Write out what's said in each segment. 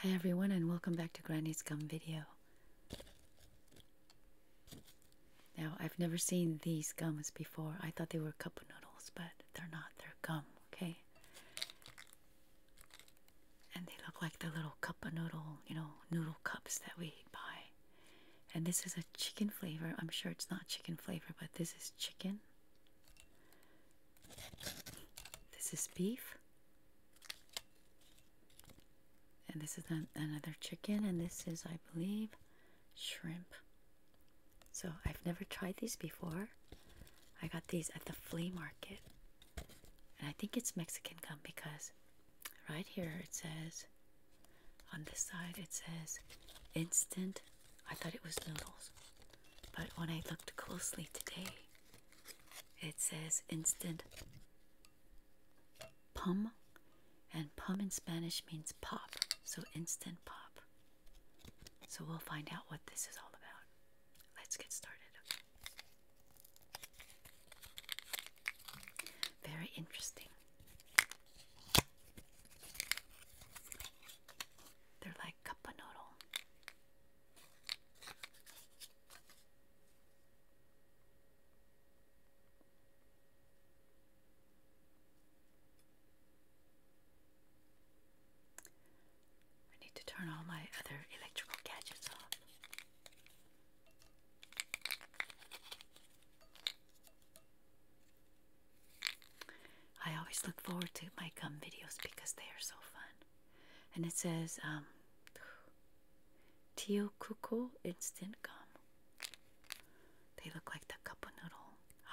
Hi everyone and welcome back to Granny's Gum video. Now I've never seen these gums before. I thought they were cup noodles, but they're not. They're gum, okay? And they look like the little cup of noodle, you know, noodle cups that we buy. And this is a chicken flavor. I'm sure it's not chicken flavor, but this is chicken. This is beef. And this is another chicken, and this is, I believe, shrimp. So I've never tried these before. I got these at the flea market. And I think it's Mexican gum because right here it says, on this side it says instant. I thought it was noodles. But when I looked closely today, it says instant pum, and pum in Spanish means pop, so instant pop. So we'll find out what this is all about. Let's get started. Very interesting. They're like cup noodle. I need to turn all my other electrical gadgets off. I always look forward to my gum videos because they are so fun and it says um, "Tio Teokuko instant gum. They look like the cup noodle.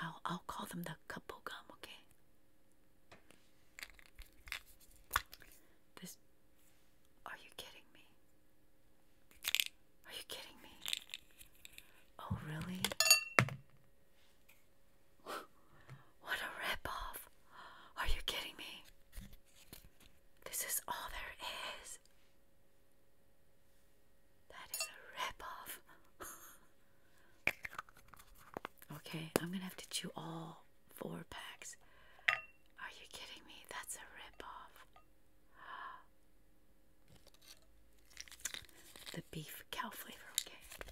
I'll I'll call them the cup gum. Okay. This. Are you kidding me? Are you kidding me? Oh really? What a ripoff! Are you kidding me? This is all there is. That is a ripoff. okay, I'm gonna have to chew all four packs. Are you kidding me? That's a ripoff. The beef cow flavor, okay.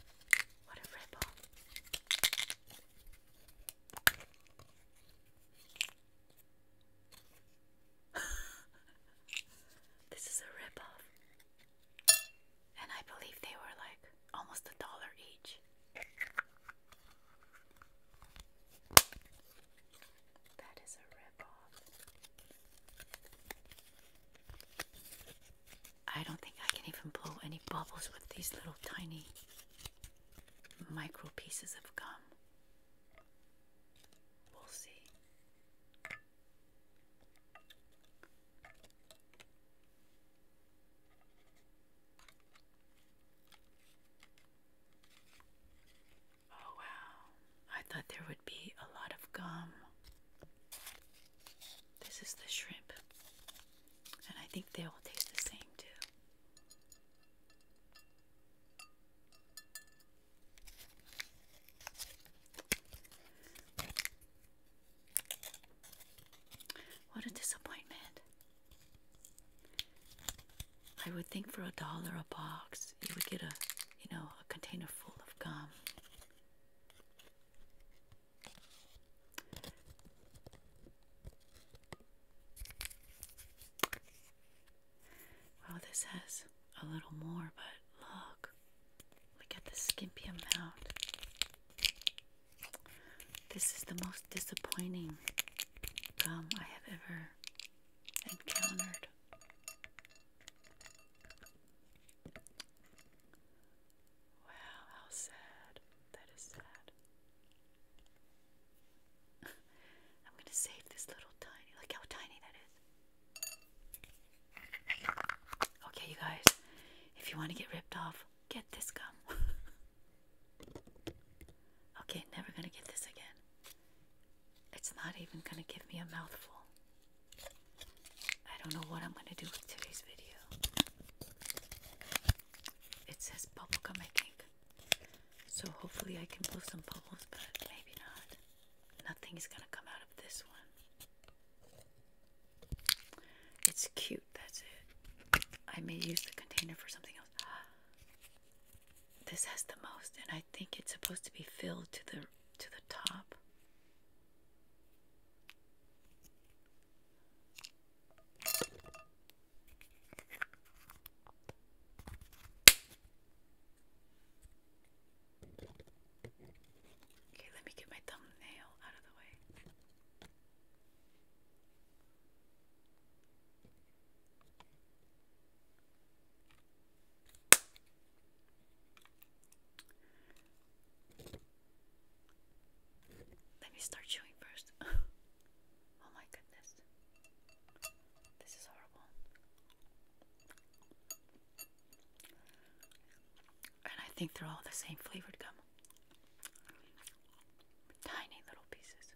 What a ripple. this is a ripoff. And I believe they were like almost a dollar each. That is a ripoff. I don't think I can even blow any bubbles with these little tiny micro pieces of gum. We'll see. Oh wow, I thought there would be a lot of gum. This is the shrimp. And I think they all taste the same too. What a disappointment. I would think for a dollar a box you would get a you know a container full of gum. Well, this has a little more, but look, look at the skimpy amount. This is the most disappointing gum I have ever encountered. Wow, how sad. That is sad. I'm gonna save this little tiny. Look how tiny that is. Okay, you guys, if you want to get ripped off, get this gum. okay, never gonna get this again. It's not even gonna give me a mouthful. I don't know what I'm gonna do with today's video. It says bubble I think. So hopefully I can blow some bubbles, but maybe not. Nothing is gonna come out of this one. It's cute, that's it. I may use the container for something else. This has the most, and I think it's supposed to be filled to the to the top. Okay, let me get my thumbnail out of the way. Let me start chewing first. oh my goodness. This is horrible. And I think they're all the same flavored gum. Tiny little pieces.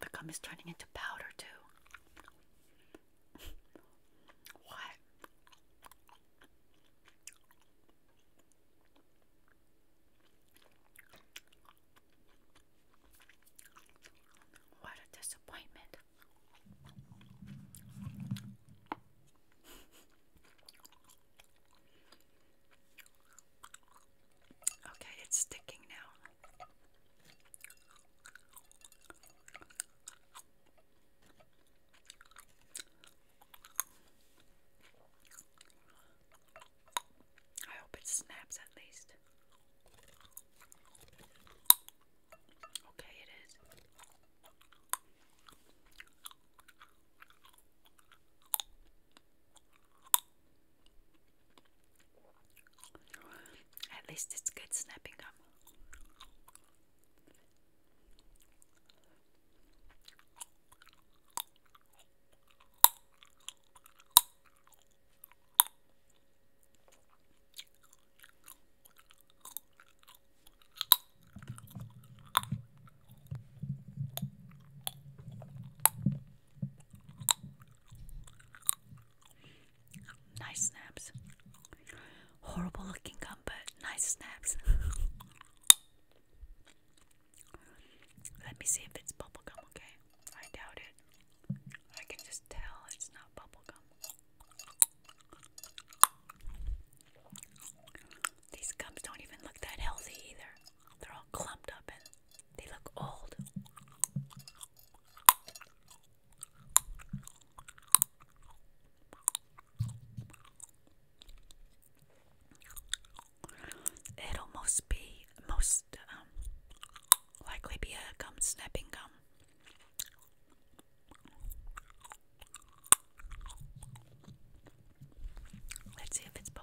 The gum is turning into powder too. what? What a disappointment. okay, it's sticking now. I hope it snaps at least. Okay, it is. At least it's good snapping up. Nice snaps. Horrible looking gum, but nice snaps. Let me see if it's bubble gum. okay? I doubt it. I can just tell it's not bubble gum. These gums don't even look that healthy either. They're all clumped up and they look old. It'll most be most um, likely be a gum snapping gum. Let's see if it's bubblegum.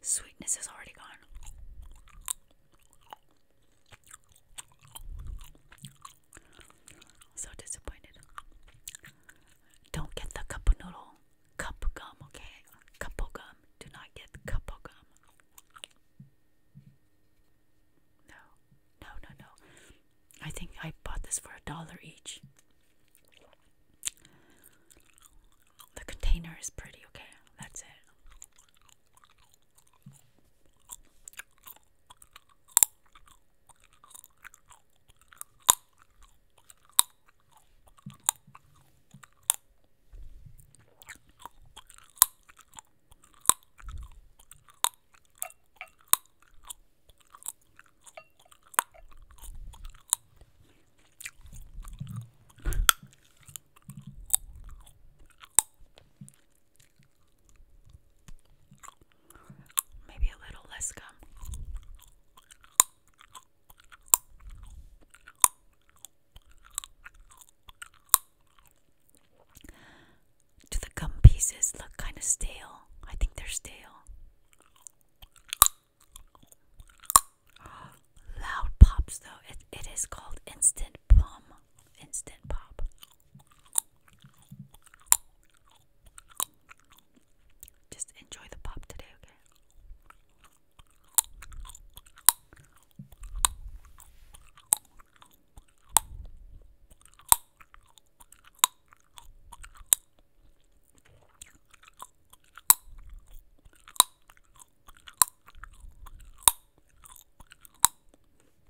Sweetness is already gone. So disappointed. Don't get the cup noodle, cup gum, okay? Cup gum. Do not get cup gum. No, no, no, no. I think I bought this for a dollar each. The container is pretty, okay? That's it. Maybe a little less gum. Do the gum pieces look kind of stale? I think they're stale. Loud pops though. It it is called instant plum. Instant pop. Just enjoy the pop today, okay?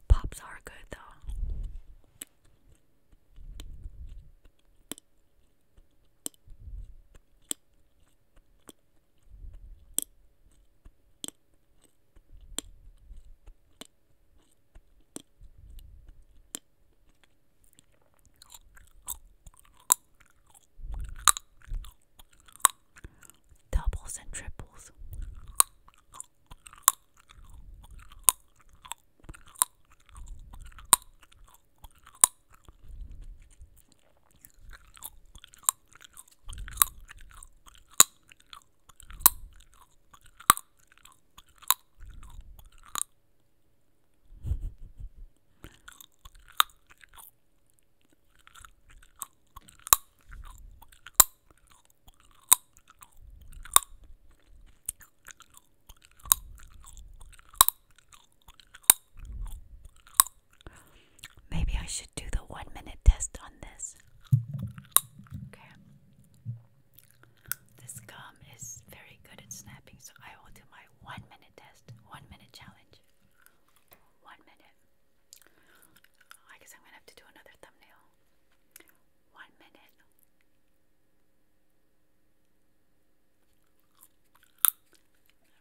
Pops are good though. Doubles and triples. Maybe I should do the one minute test on this. Okay. This gum is very good at snapping, so I will do my one minute test, one minute challenge. One minute. I guess I'm gonna have to do another thumbnail. One minute.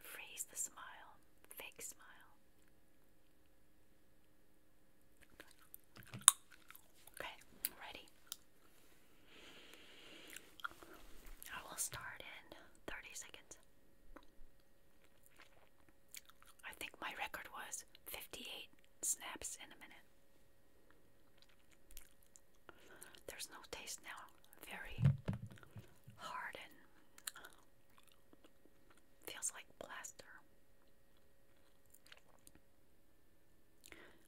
Freeze the smile, fake smile. Okay, ready. I will start in 30 seconds. I think my record was 58 snaps in a minute. There's no taste now. Very hard and uh, feels like plaster.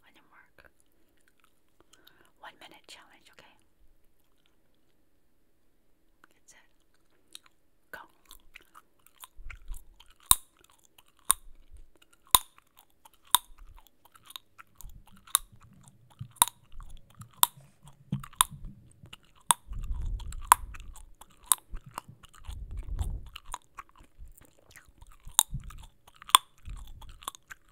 On your mark. One minute challenge, okay? Get set. Go.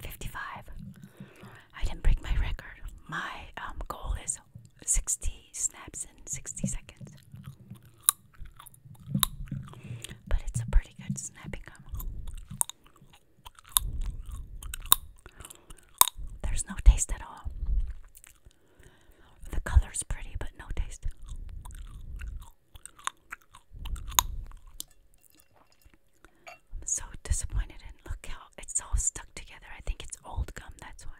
55. I didn't break my record. My um, goal is 60 snaps in 60 seconds but it's a pretty good snapping gum. There's no taste at all. The color's pretty, but no taste. I'm so disappointed, and look how it's all stuck together. I think it's old gum, that's why.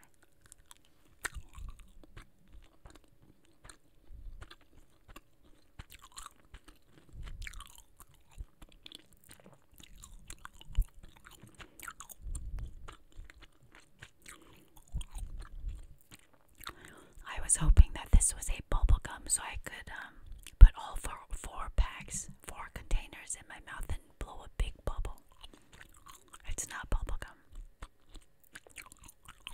I was hoping that this was a bubble gum so I could um, put all four, packs, four containers in my mouth and blow a big bubble. It's not bubble gum.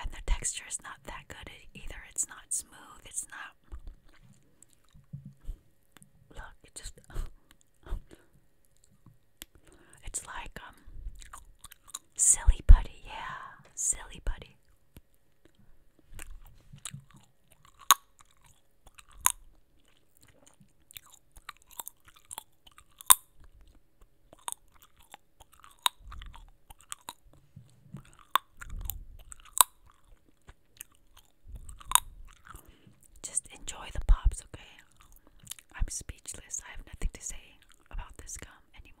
And the texture is not that good either. It's not smooth. It's not. Look, it just. It's like um silly putty, yeah, silly putty. Just enjoy the pops, okay? I'm speechless. I have nothing to say about this gum anymore.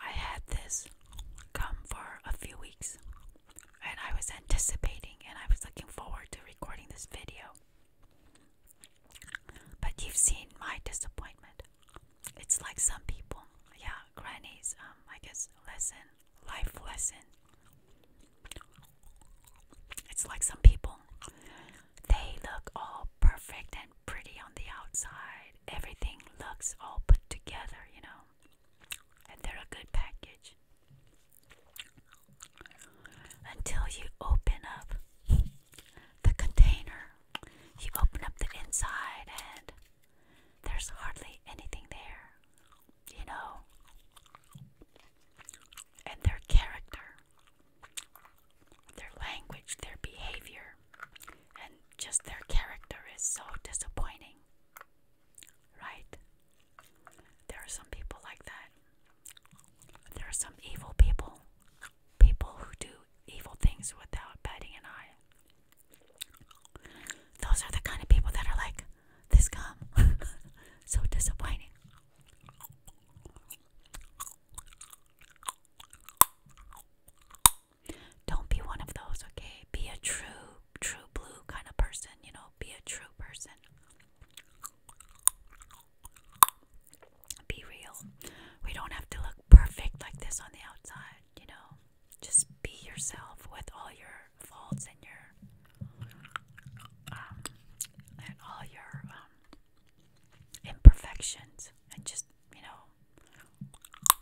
I had this come for a few weeks and I was anticipating and I was looking forward to recording this video. But you've seen my disappointment. It's like some people, yeah, grannies, um, I guess, lesson, life lesson. It's like some people, they look all perfect and pretty on the outside. Everything looks all put together, you know. And they're a good package. Until you open up the container, you open up the inside, and there's hardly anything there, you know and their character, their language, their behavior, and just their character is so disappointing. Right? There are some people like that. There are some evil people, people who do evil things without batting an eye. Those are the kind of people that are like, this gum. so disappointing. Don't be one of those, okay? Be a true, true blue kind of person, you know? Be a true person. Be real. We don't have to look perfect like this on the outside, you know? Just be yourself with all your faults and your um, and all your um, imperfections and just you know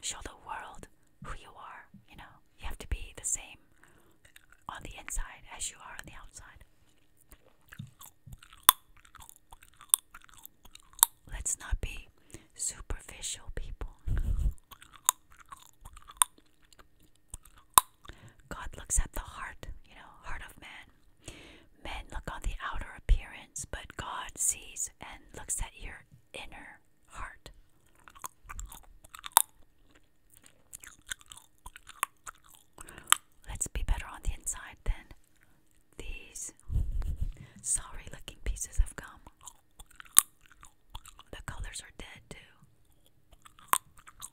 show the world who you are you know you have to be the same on the inside as you are on the outside let's not be superficial people God looks at the heart, you know, heart of man. Men look on the outer appearance, but God sees and looks at your inner heart. Let's be better on the inside than these sorry looking pieces of gum. The colors are dead too.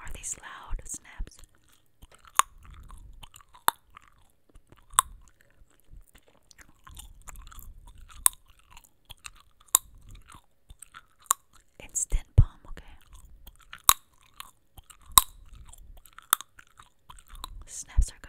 Are these loud snaps? It's Instant palm, okay. Snaps are good.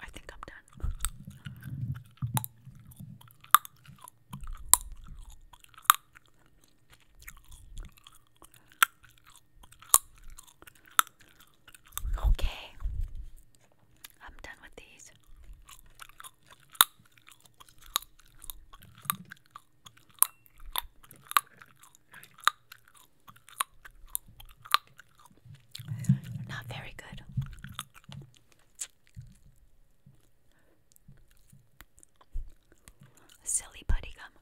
I think I'm done. Okay, I'm done with these. Not very good. Silly buddy gum.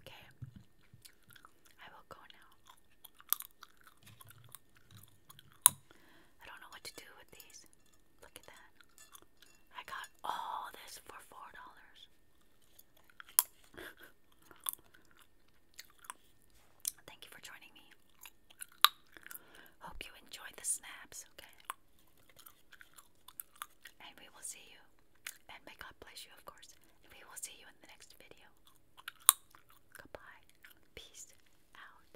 Okay, I will go now. I don't know what to do with these. Look at that. I got all this for four dollars. Thank you for joining me. Hope you enjoyed the snaps, okay? And we will see you. And may God bless you, of course. we will see you in the next video. Goodbye. Peace out.